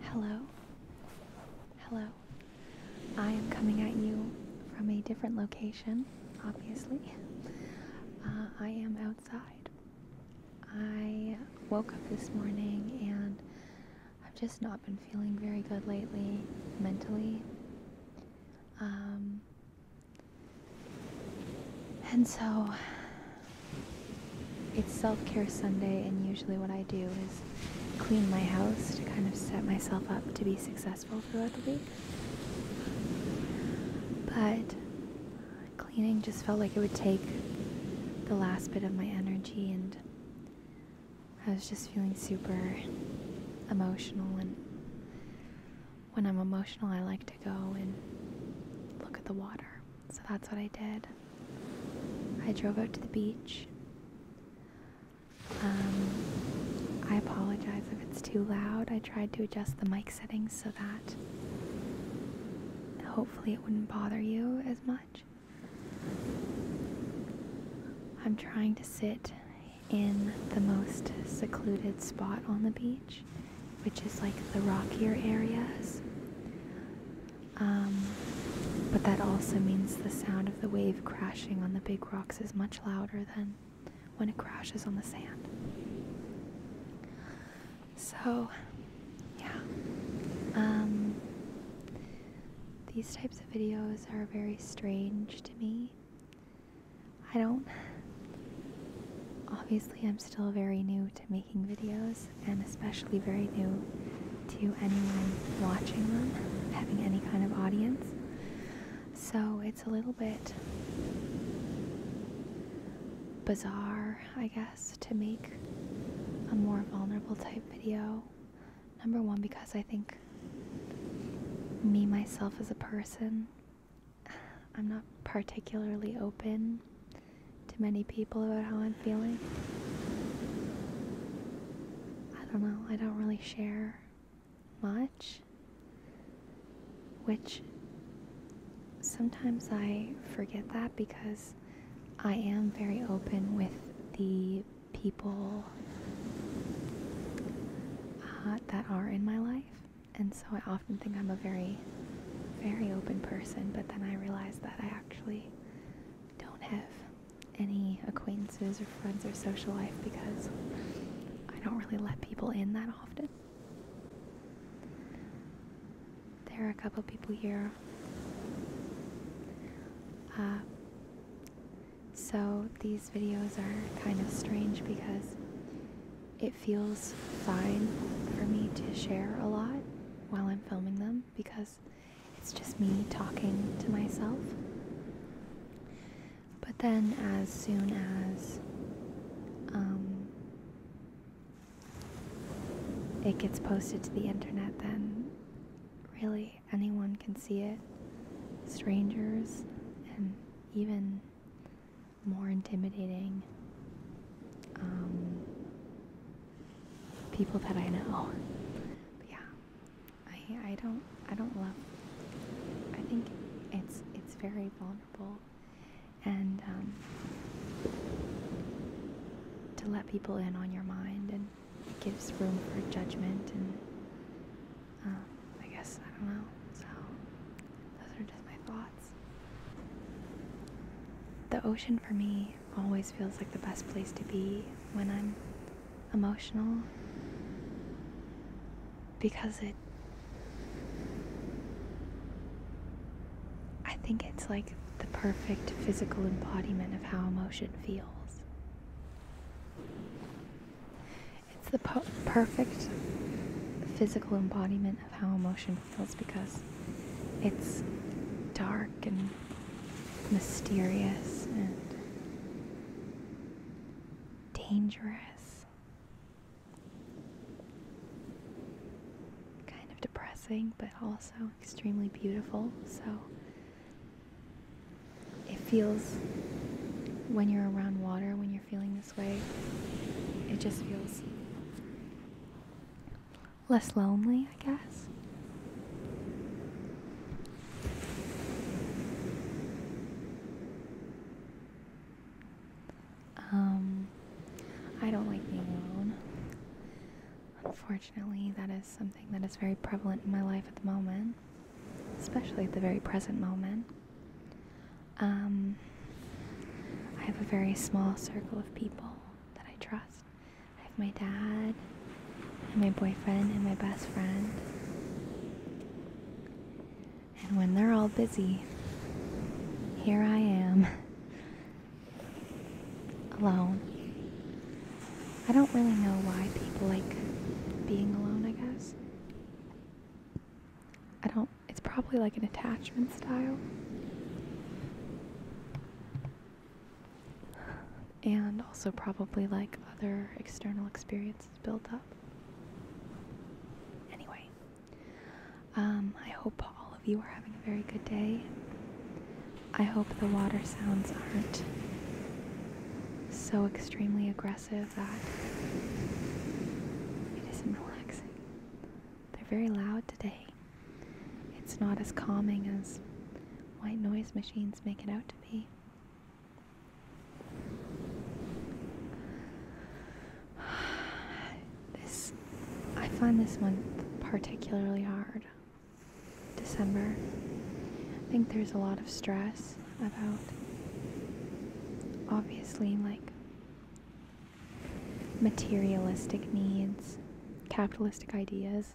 Hello? Hello? I am coming at you from a different location, obviously. Uh, I am outside. I woke up this morning and I've just not been feeling very good lately, mentally. Um, and so it's self care Sunday, and usually what I do is clean my house to kind of set myself up to be successful throughout the week. But cleaning just felt like it would take the last bit of my energy, and I was just feeling super emotional. And when I'm emotional, I like to go and look at the water. So that's what I did. I drove out to the beach. Um, I apologize if it's too loud. I tried to adjust the mic settings so that hopefully it wouldn't bother you as much. I'm trying to sit in the most secluded spot on the beach, which is like the rockier areas. Um, but that also means the sound of the wave crashing on the big rocks is much louder than when it crashes on the sand. So, yeah. Um, these types of videos are very strange to me. I don't. Obviously, I'm still very new to making videos, and especially very new to anyone watching them, having any kind of audience. So it's a little bit bizarre, I guess, to make a more vulnerable type video. Number one, because I think me, myself, as a person, I'm not particularly open to many people about how I'm feeling. I don't know, I don't really share much, which sometimes I forget that because I am very open with the people uh, that are in my life. And so I often think I'm a very, very open person, but then I realize that I actually don't have any acquaintances or friends or social life because I don't really let people in that often. There are a couple people here. Uh, so these videos are kind of strange because it feels fine for me to share a lot while I'm filming them because it's just me talking to myself. But then, as soon as um, it gets posted to the internet, then really anyone can see it. Strangers, and even more intimidating um, people that I know. yeah, I I don't I don't love. I think it's it's very vulnerable, and um, to let people in on your mind and gives room for judgment and um, I guess I don't know. So those are just my thoughts. The ocean for me always feels like the best place to be when I'm emotional because it I think it's like the perfect physical embodiment of how emotion feels. It's the perfect physical embodiment of how emotion feels because it's dark and mysterious and dangerous. Kind of depressing, but also extremely beautiful. So it feels when you're around water, when you're feeling this way, it just feels less lonely, I guess. Um, I don't like being alone. Unfortunately, that is something that is very prevalent in my life at the moment, especially at the very present moment. Um, I have a very small circle of people that I trust. I have my dad, and my boyfriend, and my best friend. And when they're all busy, here I am, alone. I don't really know why people like being alone, I guess. I don't, it's probably like an attachment style and also probably like other external experiences built up. Anyway, um, I hope all of you are having a very good day. I hope the water sounds aren't so extremely aggressive that it isn't relaxing. They're very loud today. It's not as calming as white noise machines make it out to be. This, I find this month particularly hard. December. I think there's a lot of stress about obviously like materialistic needs, capitalistic ideas,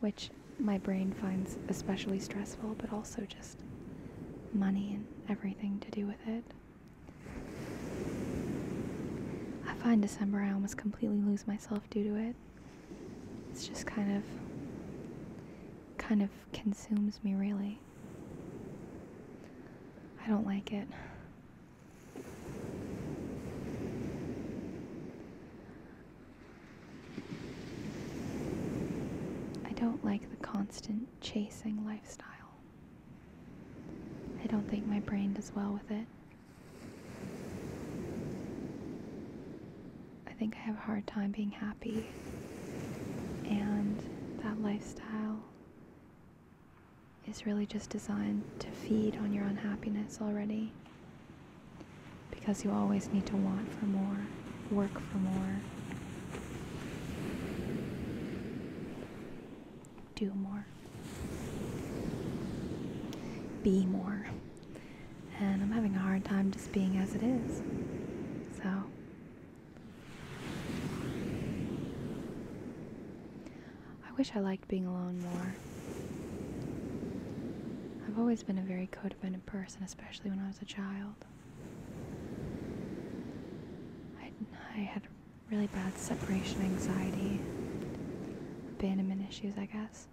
which my brain finds especially stressful, but also just money and everything to do with it. I find December I almost completely lose myself due to it. It's just kind of kind of consumes me really. I don't like it. I don't like the constant chasing lifestyle. I don't think my brain does well with it. I think I have a hard time being happy, and that lifestyle is really just designed to feed on your unhappiness already because you always need to want for more, work for more, do more, be more. And I'm having a hard time just being as it is. So, I wish I liked being alone more. I've always been a very codependent person, especially when I was a child. I had really bad separation anxiety, abandonment issues, I guess.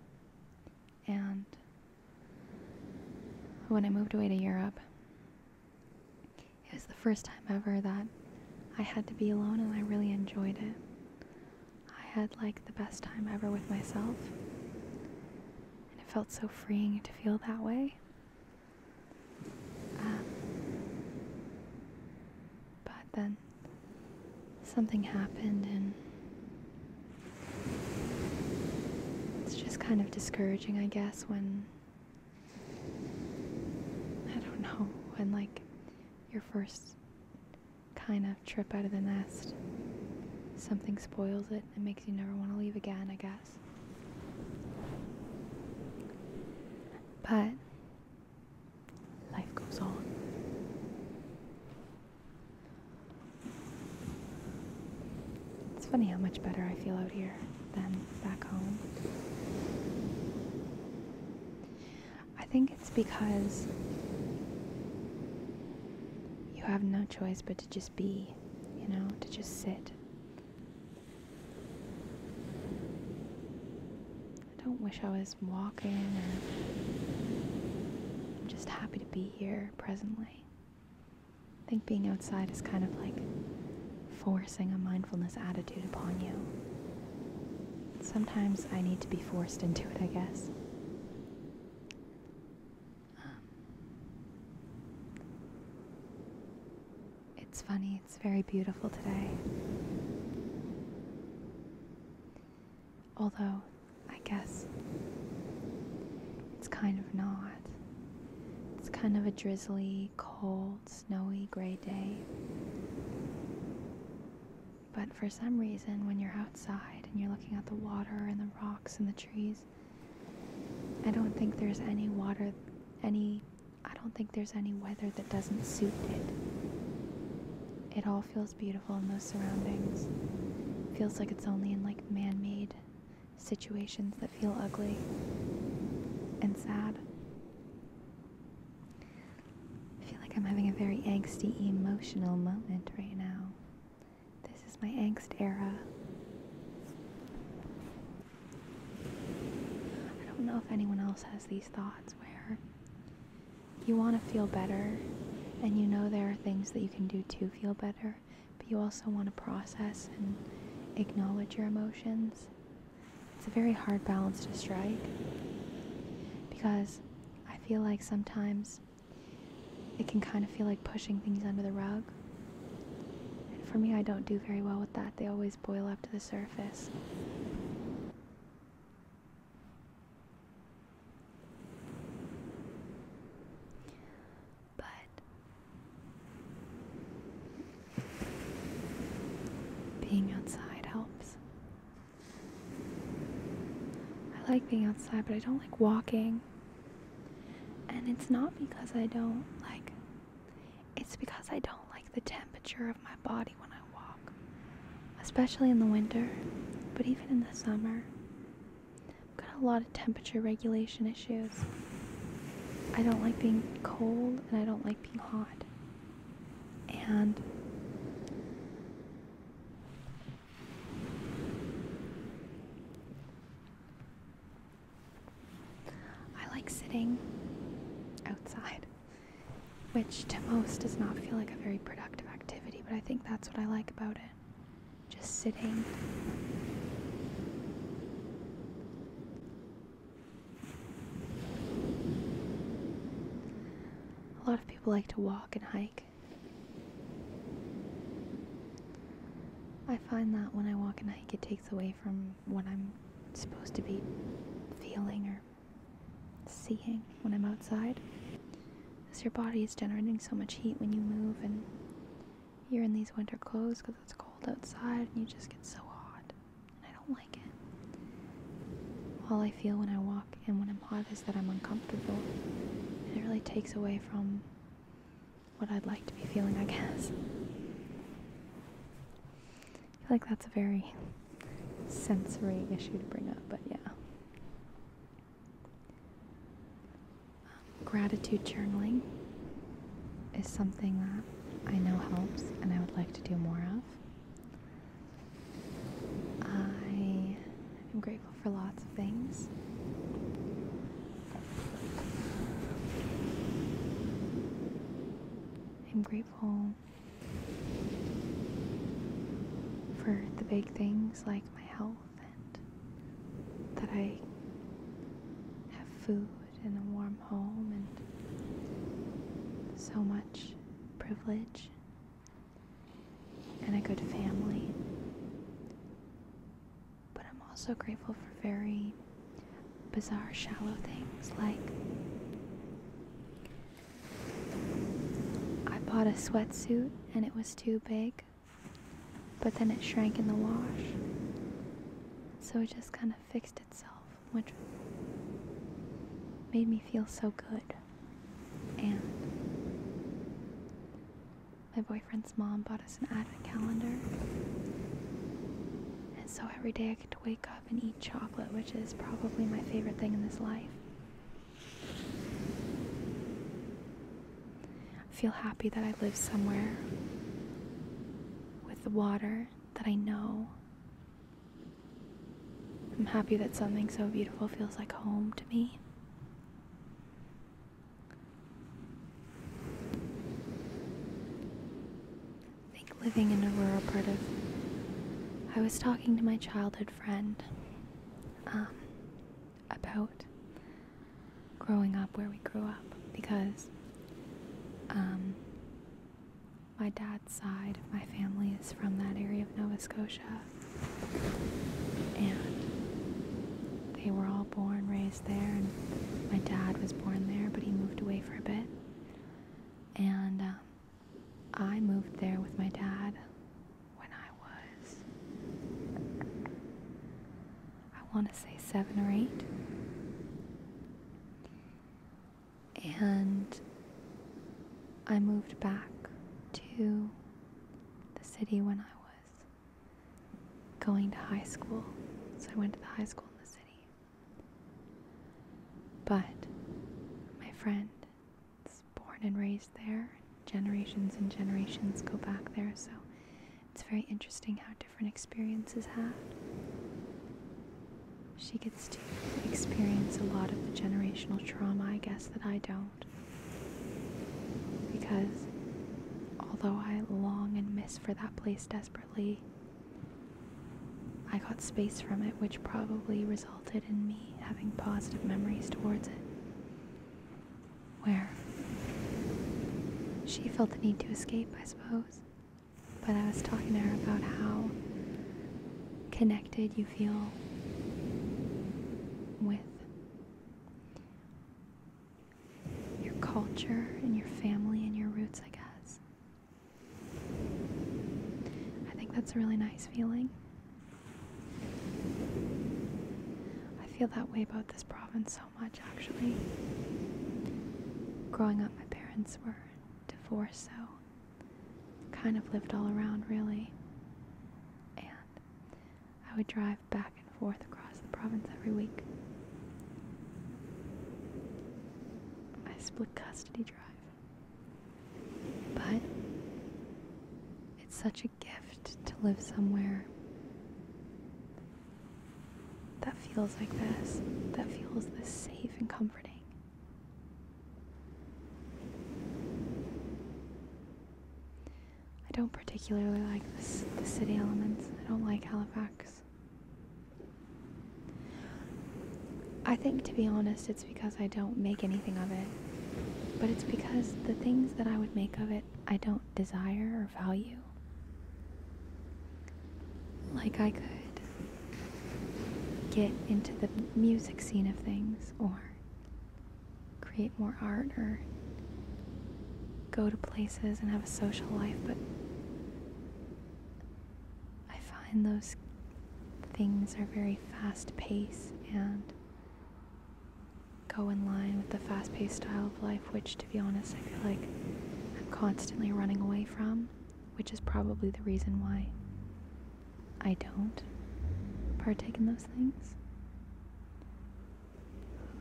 And when I moved away to Europe, it was the first time ever that I had to be alone and I really enjoyed it. I had like the best time ever with myself. And it felt so freeing to feel that way. Um, but then something happened, and it's just kind of discouraging, I guess, when I don't know, when like your first kind of trip out of the nest. Something spoils it and makes you never want to leave again, I guess. But life goes on. It's funny how much better I feel out here than back home. I think it's because you have no choice but to just be, you know, to just sit. I don't wish I was walking or just happy to be here presently. I think being outside is kind of like forcing a mindfulness attitude upon you. Sometimes I need to be forced into it, I guess. Um, it's funny, it's very beautiful today. Although, I guess it's kind of not. It's kind of a drizzly, cold, snowy, gray day. But for some reason, when you're outside and you're looking at the water and the rocks and the trees, I don't think there's any water, any, I don't think there's any weather that doesn't suit it. It all feels beautiful in those surroundings. It feels like it's only in like man made situations that feel ugly and sad. I feel like I'm having a very angsty emotional moment right now. This is my angst era. I don't know if anyone else has these thoughts where you want to feel better and you know there are things that you can do to feel better, but you also want to process and acknowledge your emotions. It's a very hard balance to strike because I feel like sometimes it can kind of feel like pushing things under the rug. And for me, I don't do very well with that. They always boil up to the surface. But being outside helps. I like being outside, but I don't like walking. And it's not because I don't like it's because I don't like the temperature of my body when I walk, especially in the winter, but even in the summer. I've got a lot of temperature regulation issues. I don't like being cold and I don't like being hot. And I like sitting outside, which to most does not feel like a very productive activity, but I think that's what I like about it. Just sitting. A lot of people like to walk and hike. I find that when I walk and hike, it takes away from what I'm supposed to be feeling or seeing when I'm outside. Because your body is generating so much heat when you move, and you're in these winter clothes because it's cold outside, and you just get so hot. And I don't like it. All I feel when I walk and when I'm i is that I'm uncomfortable. it really takes away from what I'd like to be feeling, I guess. I feel like that's a very sensory issue to bring up, but yeah. gratitude journaling is something that I know helps and I would like to do more of. I am grateful for lots of things. I'm grateful for the big things like my health and that I have food and a warm home and so much privilege and a good family. But I'm also grateful for very bizarre, shallow things like I bought a sweatsuit and it was too big, but then it shrank in the wash. So it just kind of fixed itself, which made me feel so good. And my boyfriend's mom bought us an advent calendar. And so every day I get to wake up and eat chocolate, which is probably my favorite thing in this life. I feel happy that I live somewhere with the water that I know. I'm happy that something so beautiful feels like home to me. I think living in a rural part of. I was talking to my childhood friend um, about growing up where we grew up because um, my dad's side my family is from that area of Nova Scotia and they were all born, raised there, and my dad was born there, but he moved away for a bit. And um, I moved there with my dad when I was, I want to say seven or eight. And I moved back to the city when I was going to high school. So I went to the high school in the city. But my friend is born and raised there. Generations and generations go back there. So it's very interesting how different experiences have. She gets to experience a lot of the generational trauma, I guess, that I don't. Because although I long and miss for that place desperately, I got space from it, which probably resulted in me having positive memories towards it. Where she felt the need to escape, I suppose. But I was talking to her about how connected you feel with your culture and your family and your roots, I guess. I think that's a really nice feeling. I feel that way about this province so much, actually. Growing up, my parents were divorced, so kind of lived all around, really. And I would drive back and forth across the province every week. I split custody drive. But it's such a gift to live somewhere that feels like this, that feels this safe and comforting. I don't particularly like the city elements. I don't like Halifax. I think, to be honest, it's because I don't make anything of it. But it's because the things that I would make of it, I don't desire or value. Like, I could get into the music scene of things, or create more art or go to places and have a social life, but I find those things are very fast paced and go in line with the fast paced style of life, which to be honest, I feel like I'm constantly running away from, which is probably the reason why I don't partake in those things.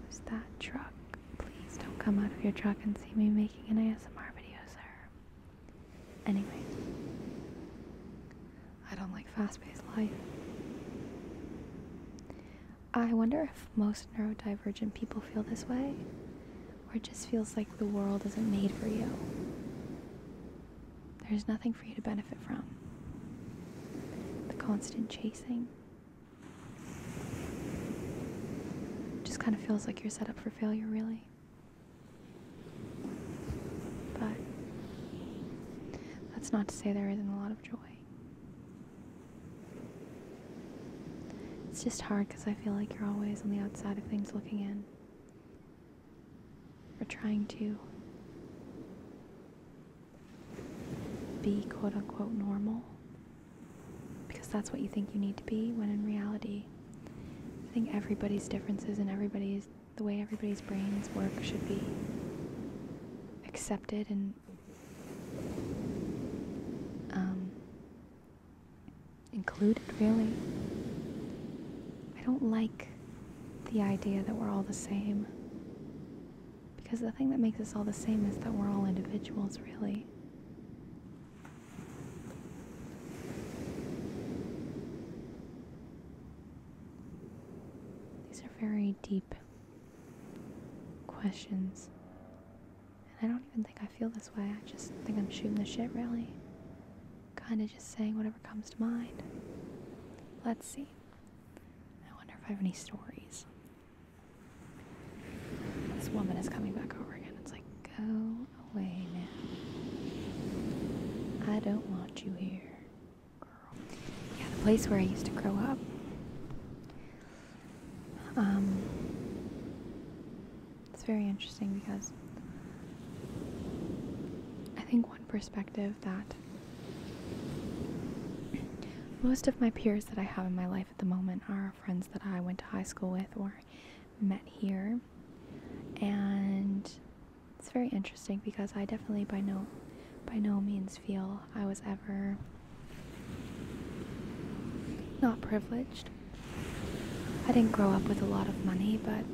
Who's that truck? Please don't come out of your truck and see me making an ASMR video, sir. Anyway, I don't like fast paced life. I wonder if most neurodivergent people feel this way, or it just feels like the world isn't made for you. There's nothing for you to benefit from the constant chasing. Just kind of feels like you're set up for failure, really. But that's not to say there isn't a lot of joy. It's just hard because I feel like you're always on the outside of things looking in. Or trying to be quote unquote normal because that's what you think you need to be when in reality I think everybody's differences and everybody's the way everybody's brains work should be accepted and um, included really. I don't like the idea that we're all the same. Because the thing that makes us all the same is that we're all individuals, really. These are very deep questions. And I don't even think I feel this way. I just think I'm shooting the shit, really. Kinda just saying whatever comes to mind. Let's see. I wonder if I have any stories. This woman is coming back over again. It's like, go away now. I don't want you here, girl. Yeah, the place where I used to grow up. Um, it's very interesting because I think one perspective that. Most of my peers that I have in my life at the moment are friends that I went to high school with or met here. And it's very interesting because I definitely by no by no means feel I was ever not privileged. I didn't grow up with a lot of money, but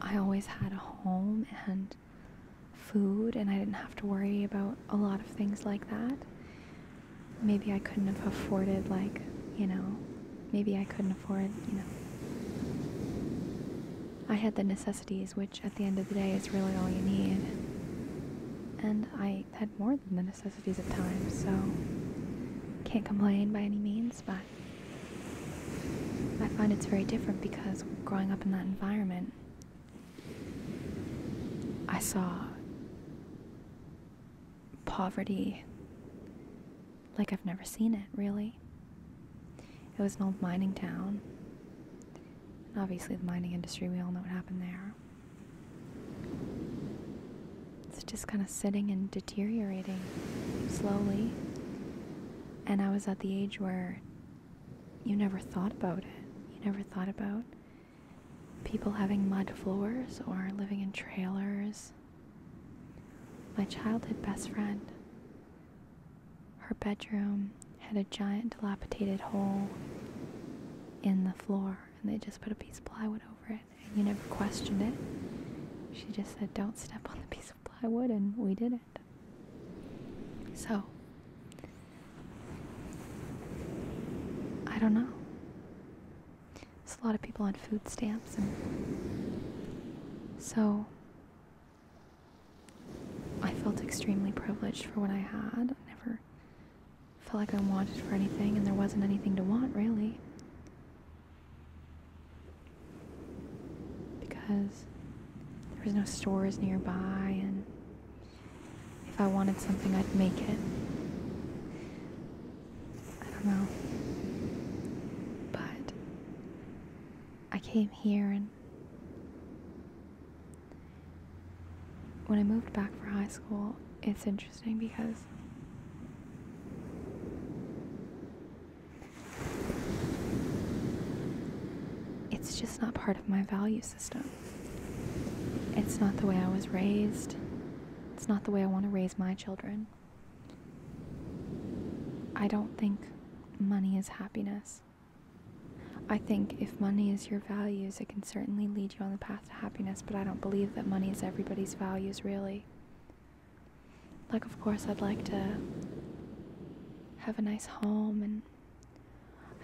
I always had a home and food and I didn't have to worry about a lot of things like that. Maybe I couldn't have afforded, like, you know, maybe I couldn't afford, you know. I had the necessities, which at the end of the day is really all you need. And I had more than the necessities at times, so can't complain by any means, but I find it's very different because growing up in that environment, I saw poverty like I've never seen it, really. It was an old mining town. obviously, the mining industry, we all know what happened there. It's just kind of sitting and deteriorating slowly. And I was at the age where you never thought about it. You never thought about people having mud floors or living in trailers. My childhood best friend, her bedroom had a giant dilapidated hole in the floor, and they just put a piece of plywood over it, and you never questioned it. She just said, Don't step on the piece of plywood, and we did it. So, I don't know. There's a lot of people on food stamps, and so I felt extremely privileged for what I had. I never felt like I wanted for anything, and there wasn't anything to want really. Because there was no stores nearby, and if I wanted something, I'd make it. I don't know. But I came here and when I moved back for high school, it's interesting because it's just not part of my value it's not the way I was raised. It's not the way I want to raise my children. I don't think money is happiness. I think if money is your values, it can certainly lead you on the path to happiness, but I don't believe that money is everybody's values, really. Like, of course, I'd like to have a nice home and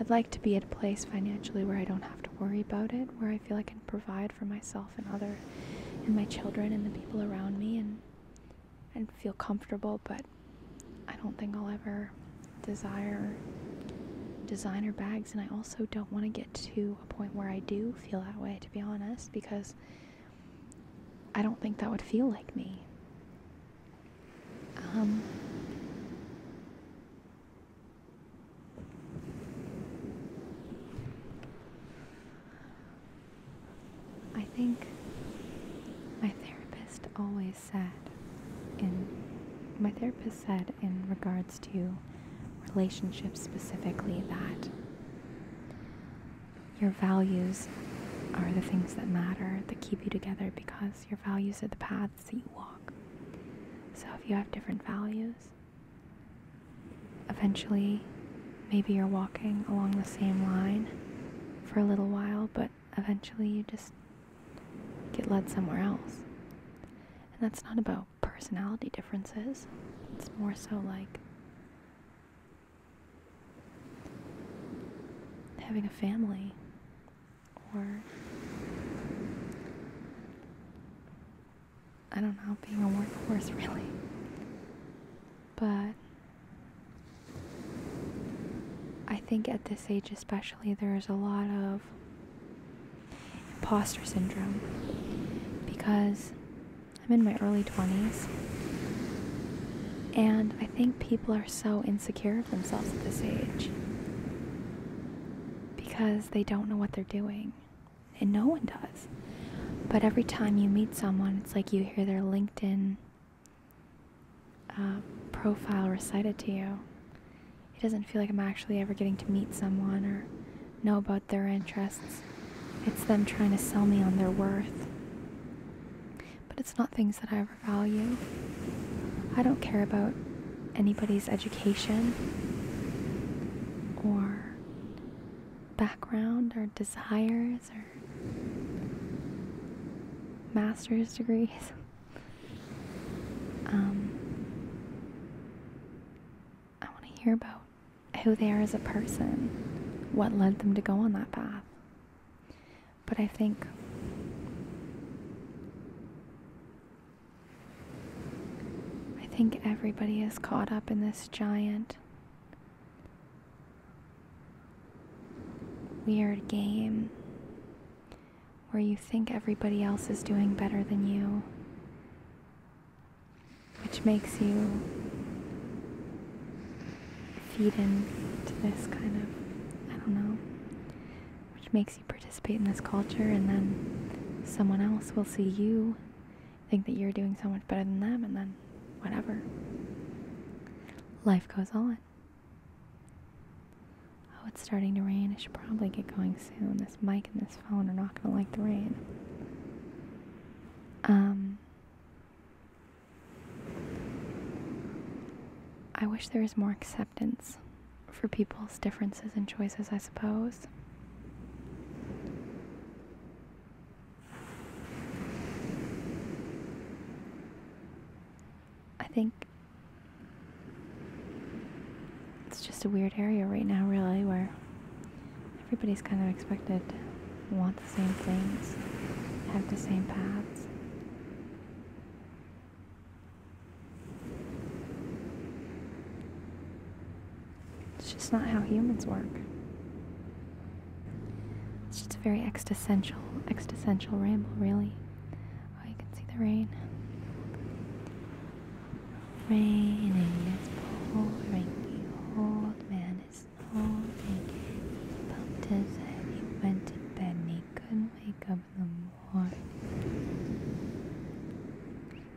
I'd like to be at a place financially where I don't have to worry about it, where I feel I can provide for myself and other and my children and the people around me and and feel comfortable, but I don't think I'll ever desire designer bags and I also don't want to get to a point where I do feel that way to be honest because I don't think that would feel like me. Um, I think my therapist always said, in my therapist said in regards to relationships specifically, that your values are the things that matter that keep you together because your values are the path paths you walk. So if you have different values, eventually maybe you're walking along the same line for a little while, but eventually you just get led somewhere else. And that's not about personality differences, it's more so like having a family or I don't know, being a workhorse really. But I think at this age, especially, there's a lot of imposter syndrome because I'm in my early 20s and I think people are so insecure care of themselves at this age because they don't know what they're doing. And no one does. But every time you meet someone, it's like you hear their LinkedIn uh, profile recited to you. It doesn't feel like I'm actually ever getting to meet someone or know about their interests. It's them trying to sell me on their worth. But it's not things that I have value. I don't care about anybody's education or background or desires or master's degrees. Um, I want to hear about who they are as a person, what led them to go on that path. But I think I think everybody is caught up in this giant weird game where you think everybody else is doing better than you, which makes you feed into this kind of, I don't know, which makes you participate in this culture and then someone else will see you think that you're doing so much better than them and then whatever. Life goes on. Oh, it's starting to rain. I should probably get going soon. This mic and this phone are not going to like the rain. Um, I wish there was more acceptance for people's differences and choices, I suppose. I think it's just a weird area right now, really, where everybody's kind of expected want the same things, have the same paths. It's just not how humans work. It's just a very existential, existential ramble, really. Oh, you can see the rain. Raining, it's pouring. The old man is snoring. He bumped his head. He went to bed he couldn't wake up in the morning. I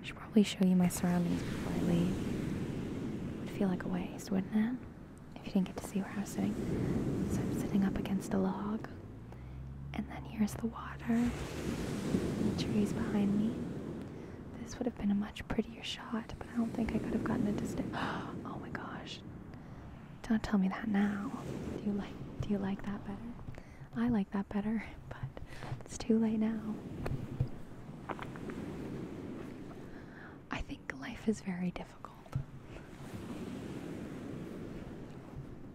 should probably show you my surroundings before I leave. It would feel like a waste, wouldn't it? If you didn't get to see where I was sitting. So I'm sitting up against a log. And then here's the water. The trees behind me. This would have been a much prettier shot, but I don't think I could have gotten a distant. Oh my gosh. Don't tell me that now. Do you like do you like that better? I like that better, but it's too late now. I think life is very difficult.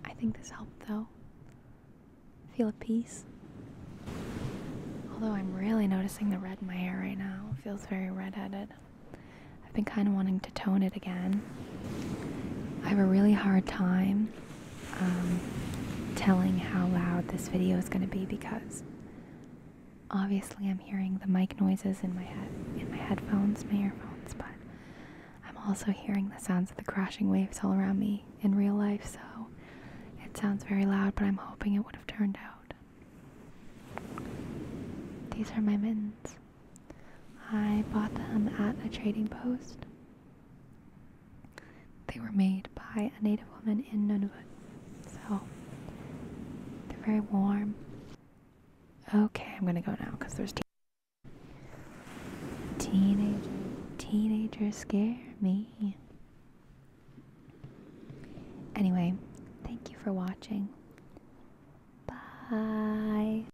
I think this helped though. Feel at peace. Although I'm really noticing the red in my hair right now. feels very redheaded. I've been kind of wanting to tone it again. I have a really hard time um, telling how loud this video is going to be because obviously I'm hearing the mic noises in my head, in my headphones, my earphones, but I'm also hearing the sounds of the crashing waves all around me in real life, so it sounds very loud, but I'm hoping it would have turned out. These are my mittens. I bought them at a trading post. They were made by a native woman in Nunavut, so they're very warm. Okay, I'm gonna go now because there's teenagers. teenagers scare me. Anyway, thank you for watching. Bye.